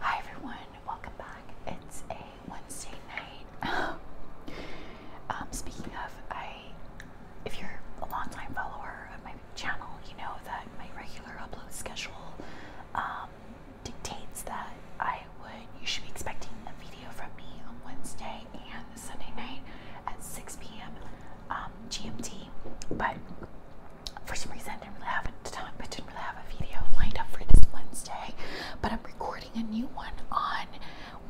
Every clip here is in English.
Hi everyone, welcome back. It's a Wednesday night. Um, speaking of, I, if you're a longtime follower of my channel, you know that my regular upload schedule um, dictates that I would, you should be expecting a video from me on Wednesday and Sunday night at 6 p.m. Um, GMT, but for some reason I didn't really have a time, I didn't really have a video lined up for this Wednesday, but I'm recording a new one on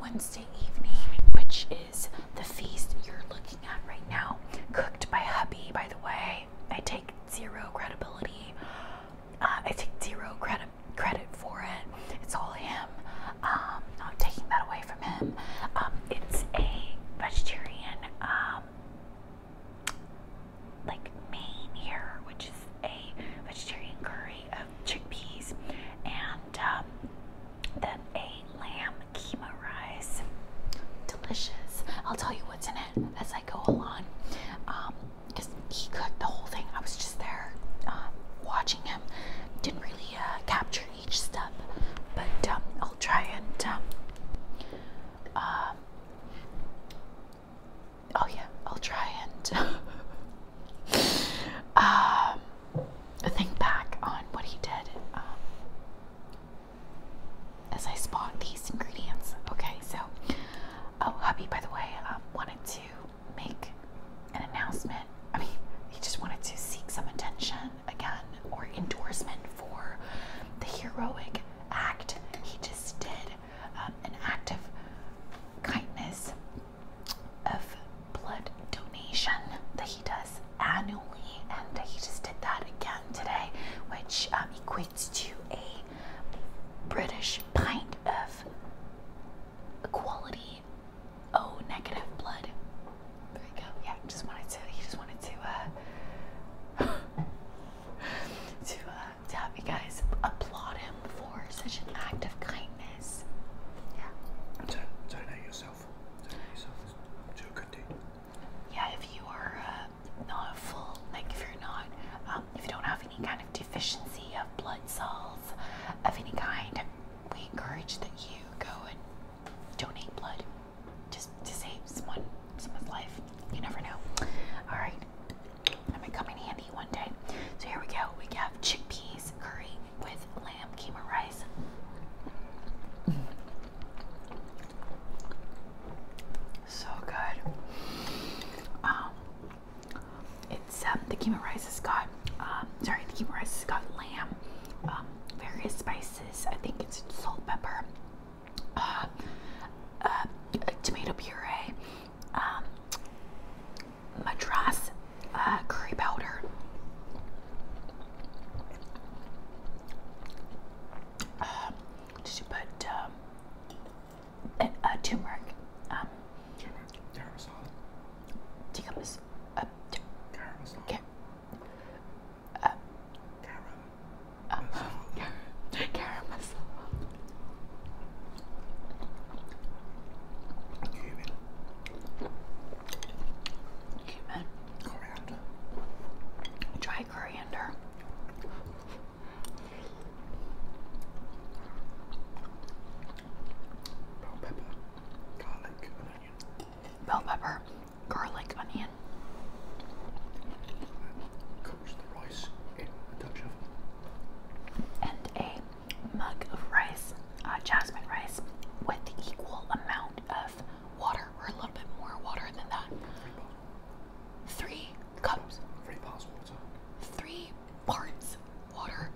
Wednesday evening, which is the feast you're looking at right now. Cooked by hubby, by the way. I take zero credibility. Uh, I take zero credit credit for it. It's all him. Um, not taking that away from him. Um, it's a vegetarian um, like main here, which is a vegetarian curry of chickpeas and um, then a lamb keema rice. Delicious. I'll tell you what's in it as I go along. Because um, he cooked the whole thing. I was just there um, watching him. Didn't really uh, capture each step, but I'll try and uh, oh yeah i'll try and um, think back on what he did um, as i spot these ingredients okay so oh hubby by the way um, wanted to make an announcement i mean he just wanted to seek some attention again or endorsement for the heroic act he just did um, an act of kindness of blood donation that he does annually and he just did that again today which um, equates to a british pint of quality o negative blood there you go yeah just wanted to he just wanted to uh, Uh, to, have you guys applaud him for such an act of kindness. Yeah. Turn, yourself. Turn yourself. Do a good deed. Yeah, if you are uh, not full, like if you're not, um, if you don't have any kind of deficiency of blood cells of any kind, we encourage that you go and donate blood just to save someone someone's life. You never know. All right, that might come in handy one day. So here we go. We have chickpeas curry with lamb keema rice. So good. Um, it's um the keema rice has got um sorry the keema rice has got lamb, um various spices. I think it's salt, pepper, uh, uh, tomato puree, um, madras uh, curry powder. Uh, did you put um, a, turmeric? Um, caramel salad. Um, Garam. Um, Garam masala. Cumin. Cumin. Coriander. Dry coriander. Bell pepper, garlic, onion. Bell pepper, garlic onion. Cooks the rice in a touch of. And a mug of rice, uh, jasmine rice, with equal amount of water, or a little bit more water than that. Three cups. Three parts water. Three parts water.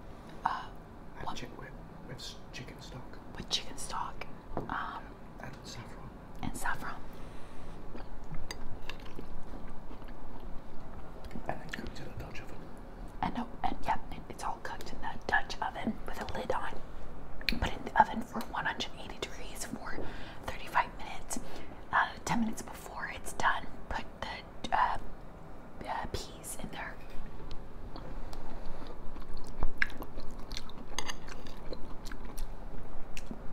Uh, chicken with, with chicken stock. With chicken stock. Um, and saffron and saffron. And then cooked in a Dutch oven. And, oh, and yeah, it's all cooked in the Dutch oven with a lid on. Put in the oven for 180 degrees for 35 minutes. Uh, 10 minutes before it's done, put the uh, uh, peas in there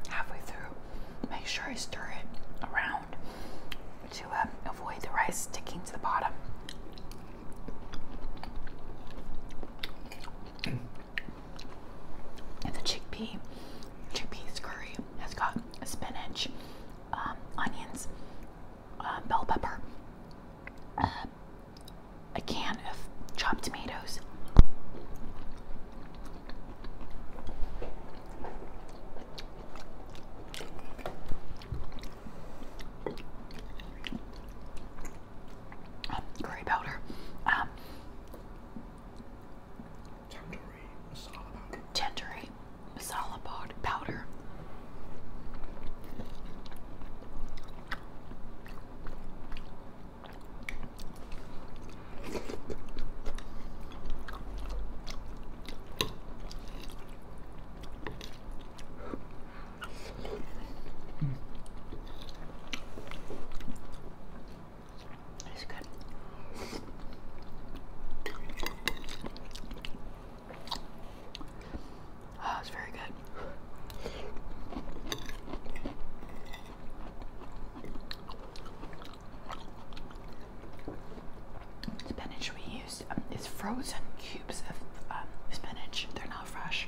halfway through, make sure you stir it around to um, avoid the rice sticking to the bottom. and the chickpea, chickpeas curry has got spinach, um, onions, uh, bell pepper, uh, a can of chopped tomatoes, um, curry powder. Um, Tandoori masala powder. Tandoori masala powder. It's good. Oh, it's very good. Spinach we use um, is frozen cubes of um, spinach. They're not fresh.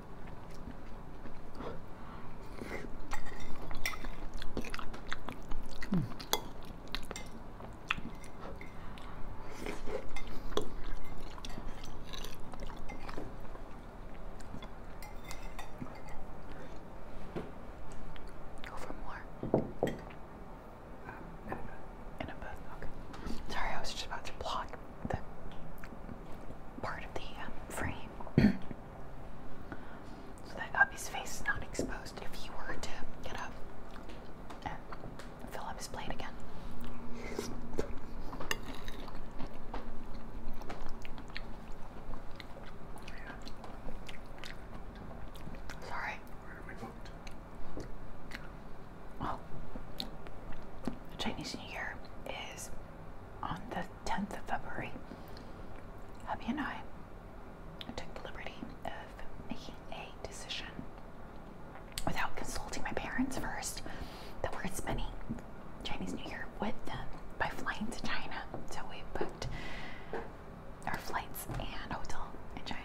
Go for more. Um, in a bed. Sorry, I was just about to block the part of the um, frame so that Uppy's face is not exposed if you were to get up and fill up his plate again. Sorry. Where are we booked? Oh, the Chinese New Year is on the 10th of February, hubby and I took the liberty of making a decision without consulting my parents first that we're spending Chinese New Year with them by flying to China. So we booked our flights and hotel in China.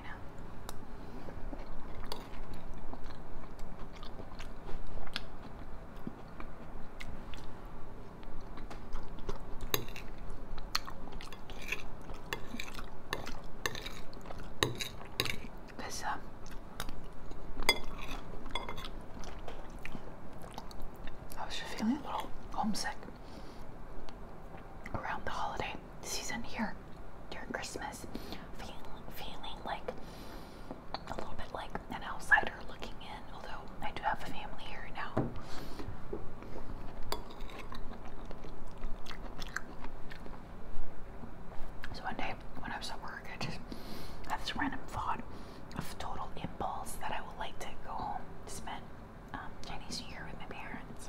There's um, I was just feeling a little homesick around the holiday season here during Christmas, feeling feeling like a little bit like an outsider looking in, although I do have a family here now. So one day when I was at I just had this random thought of total impulse that I would like to go home spend um, Chinese New Year with my parents.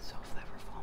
So flavorful.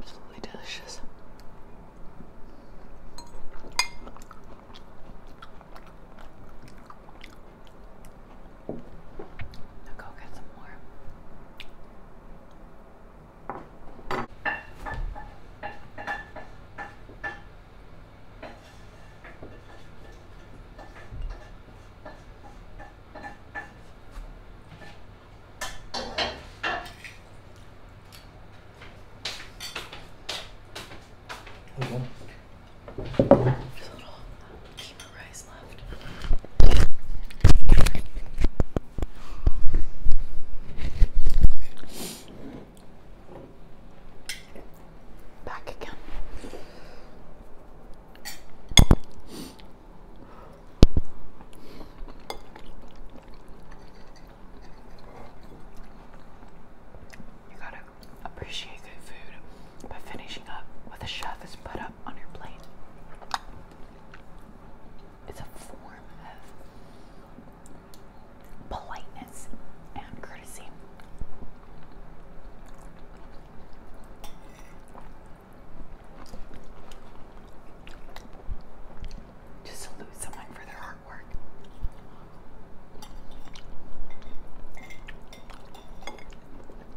Absolutely delicious. I'll go get some more. There's a little um, keema rice Back again. You gotta appreciate good food by finishing up with the chef has put up on your plate. It's a form of politeness and courtesy. To salute someone for their hard work.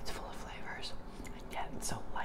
It's full of flavors and it's so light.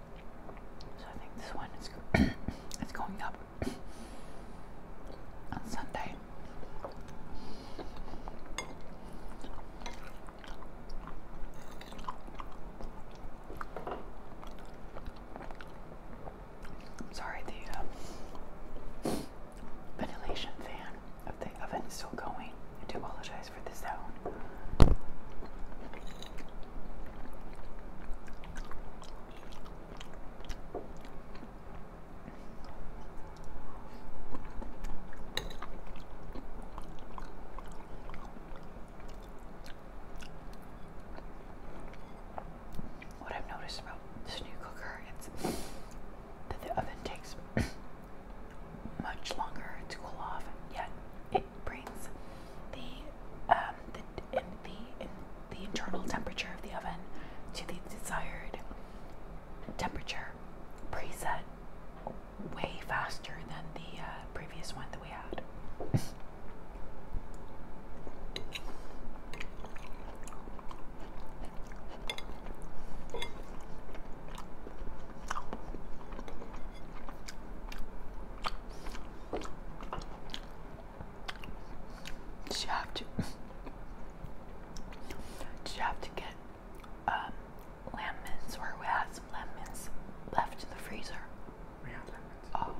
So I think this one is it's going up on Sunday. I'm sorry, the uh, ventilation fan of the oven is still going. I do apologize for the sound. What I've noticed about this new cooker is that the oven takes much longer to cool off, yet it brings the um, the in, the in, the internal temperature of the oven to the desired temperature preset way faster than the uh, previous one that we had. Did you have to? Did you have to get um, lemons, or we had some lemons left in the freezer? We had lemons. Oh.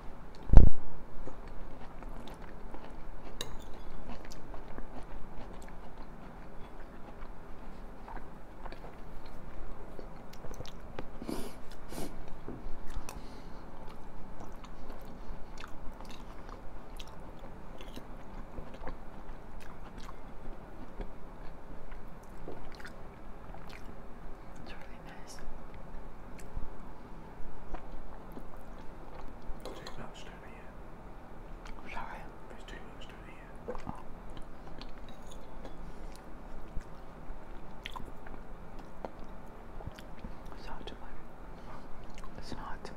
It's really nice. There's too down here. Sorry? There's too much down here. Oh. It's not too much. It's not too much.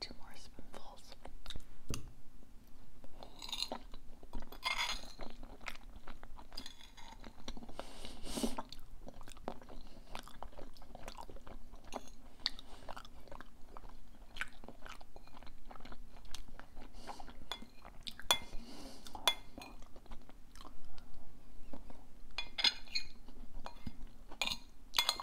Two more spoonfuls.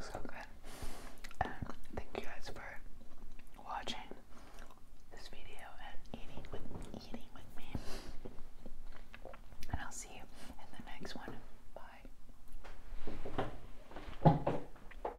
So good. And thank you guys for watching this video and eating with eating with me. And I'll see you in the next one. Bye.